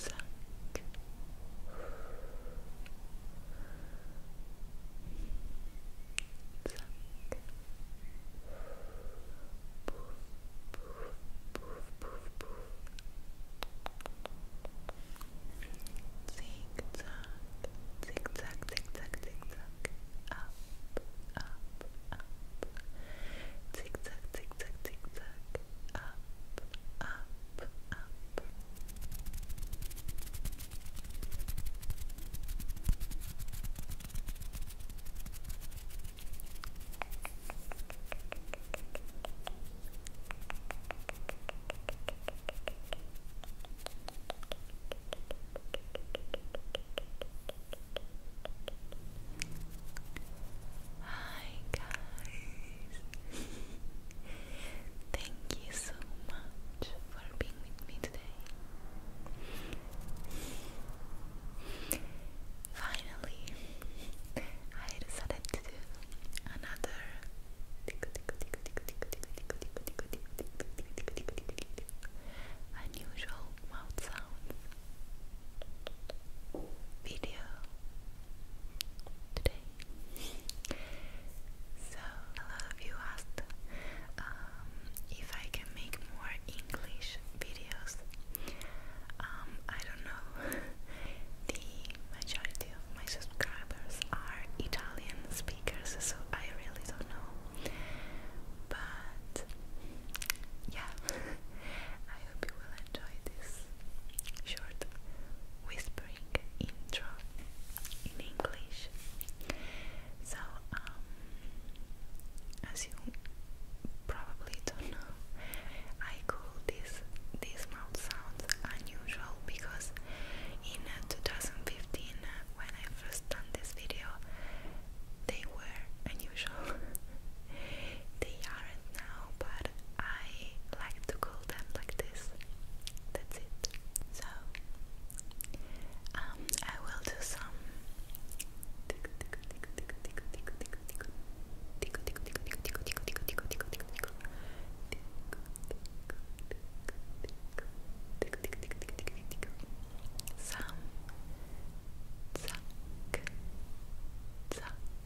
Zack. Zack. Zigzag, zigzag, zigzag, zigzag, up, up, up, zigzag, zigzag, zigzag, up, up, up. Hi guys. Thank you so much for being with me today. Finally, I decided to do another unusual mouth sounds video today. So a lot of you asked um, if I can make more English videos. Um, I don't know. the majority of my subscribers are Italian speakers, so I really don't know. But yeah, I hope you will enjoy this short whispering intro in English. So, um, as you probably don't know, I call this these mouth sounds unusual because in uh, 2015, uh, when I first done this video, they were unusual. They aren't now, but I like to call them like this. That's it. So, um, I will do some. Some zack,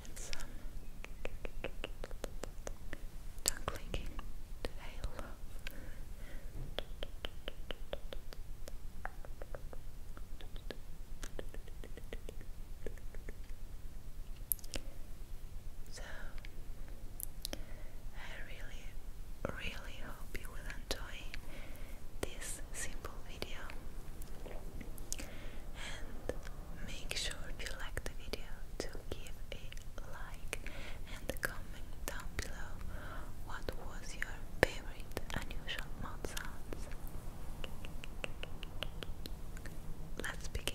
Um, and So, I really, really hope you will enjoy this simple video and make sure you like the video to give a like and comment down below what was your favorite unusual mouth let's begin